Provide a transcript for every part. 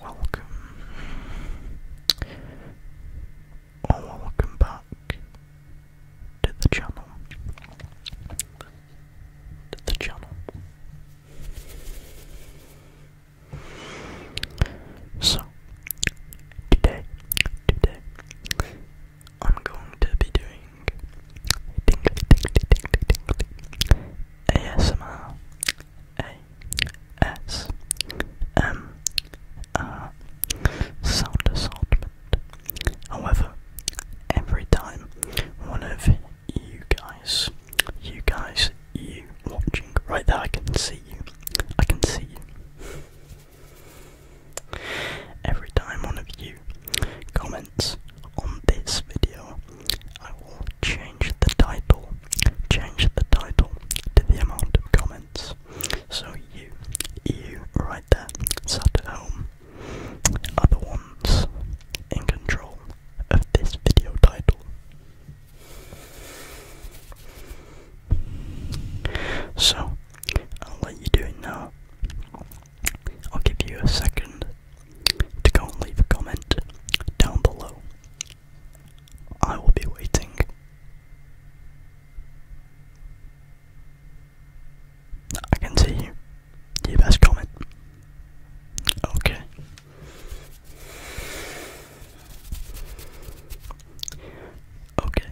welcome or welcome back to the channel. To the channel. So today, today I'm going to be doing ASMR, S M R sound assortment. However, every time one of you guys, you guys, you watching right there, I can see you. I can see you. Every time one of you comments on this video, I will change the title change the title to the amount of comments. So you, you right there, sat at home, other ones in control of this video title. So, I'll let you do it now. I'll give you a second to go and leave a comment down below I will be waiting. I can see you. You best comment. Okay. Okay.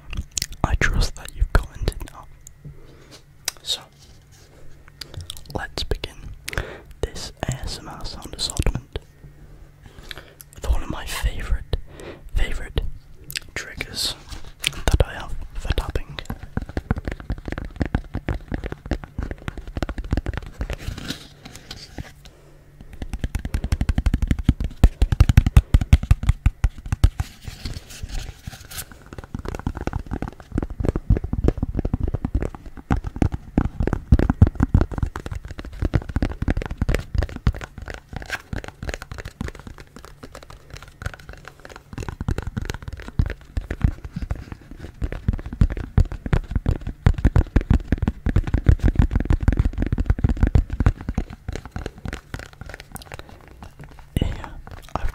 I trust that you've commented So, let's begin this ASMR sound assortment with one of my favorite, favorite triggers that I have for tapping. And I've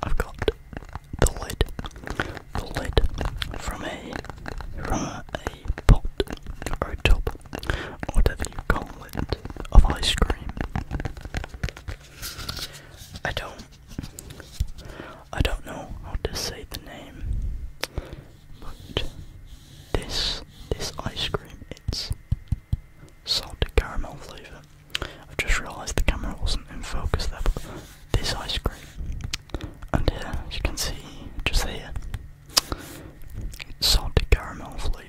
got, I've got the lid, the lid from a, from a the pot or top, whatever you call it, of ice cream. I don't I don't know how to say the name but this this ice cream it's salted caramel flavour. I have just realised the camera wasn't in focus there this ice cream. And here, uh, as you can see, just here, salted caramel flavour.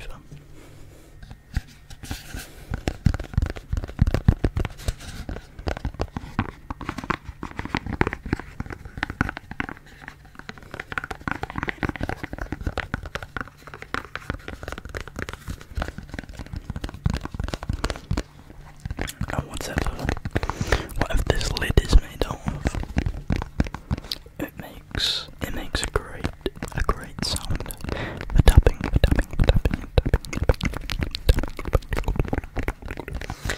And whatever, What if this lid is made of? It makes it makes a great a great sound. The tapping, the tapping, the tapping, the tapping, the tapping, the tapping, the tapping.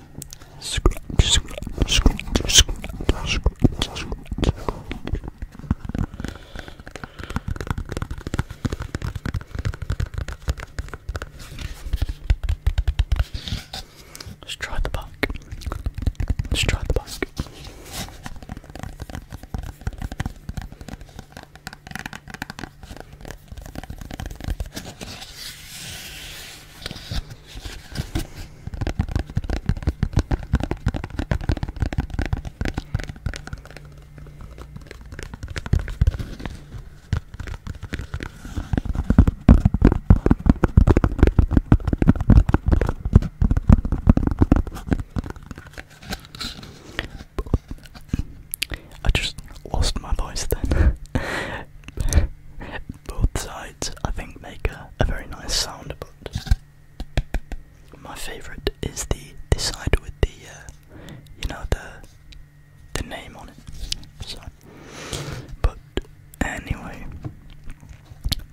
Scrunch, scrunch, scrunch, scrunch, scrunch, scrunch. Let's try the back. Let's try the back. I just lost my voice then. both sides I think make a, very nice sound, but my favorite is the the side with the uh, you know the the name on it. but anyway,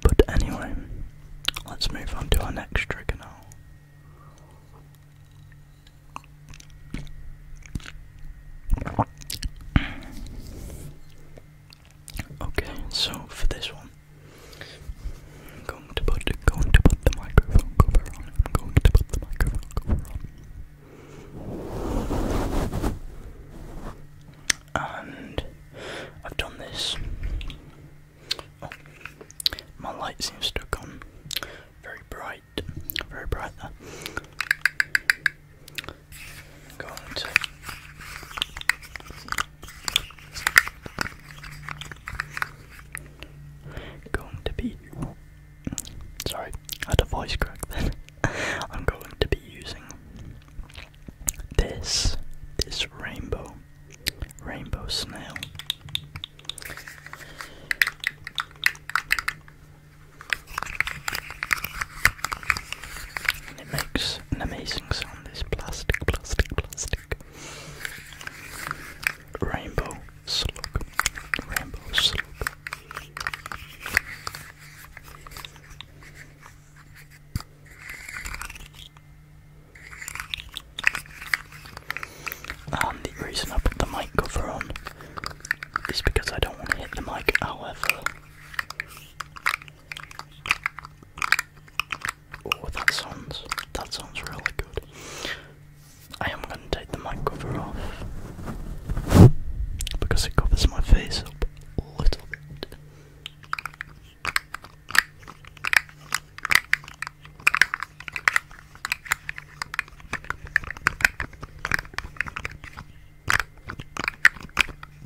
but anyway, let's move on to our next trigger now. Okay, so for this one, I'm going to put the microphone cover on. I'm going to put the microphone cover on. And I've done this. Oh, my light seems stuck on. Very bright, very bright there going to be sorry, I had a voice crack then. I'm going to be using this this rainbow rainbow snail. And it makes an amazing sound this plastic, plastic, plastic. Rainbow slug. Rainbow slug. And the reason I put the mic cover on is because I don't want to hit the mic, however, Oh, that sounds that sounds really good. I am gonna take the mic cover off because it covers my face up a little bit.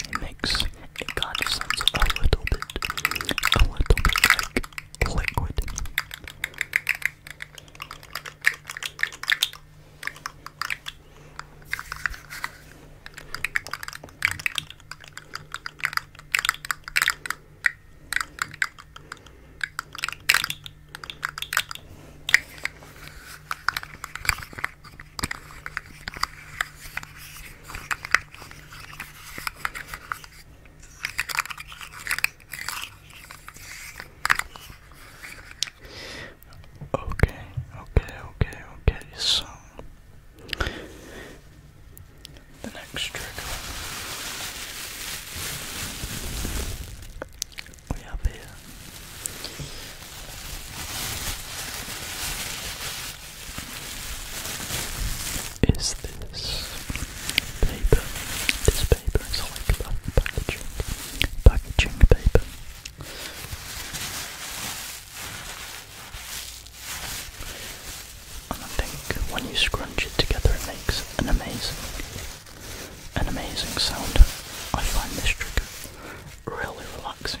It makes it kind of sounds a little bit, a little bit liquid. Okay, okay, okay, okay, so the next trick we have here. Is this paper? This paper is like that packaging paper. And I think when you scrunch it together it makes an amazing, an amazing sound. I find this trick really relaxing.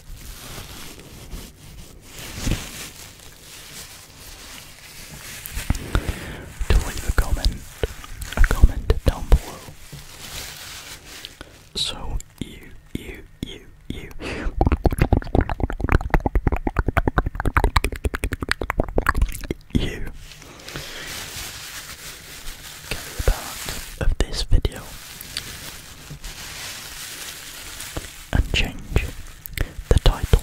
to leave a comment, a comment down below. So you, you, you, you. You can be a part of this video and change the title.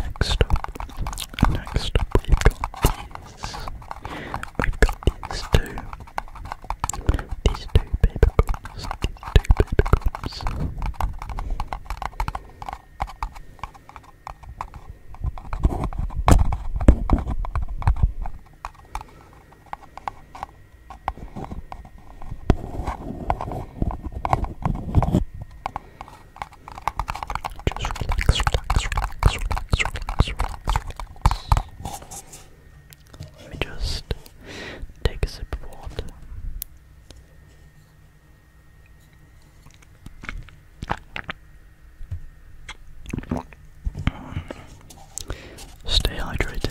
Next up, next up we got these we've got these two. These two paper These two paper Just relax, relax, relax, relax, relax, relax. Let me just take a sip of water. Stay hydrated.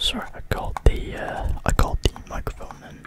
Sorry, I caught the uh, I caught the microphone in.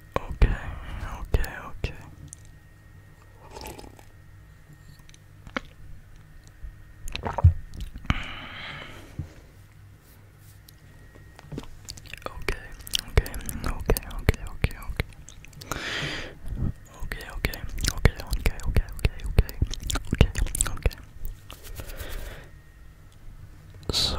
Okay, okay, okay. Okay, okay, okay, okay, okay, okay. Okay, okay, okay, okay, okay, okay, okay, okay, okay. So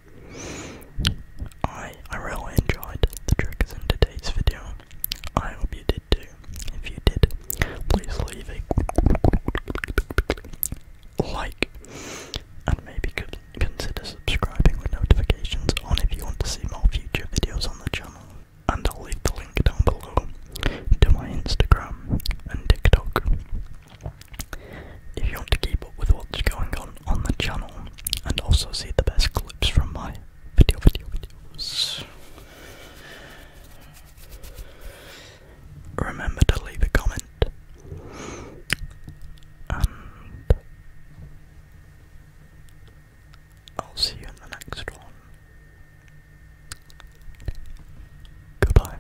I I really enjoyed the triggers in today's video. I hope you did too. If you did, please leave a like and maybe could consider subscribing with notifications on if you want to see more future videos on the channel. And I'll leave the link down below to my Instagram and TikTok. If you want to keep up with what's going on on the channel and also see the best clips from my video video videos, remember to leave a comment and I'll see you in the next one. Goodbye.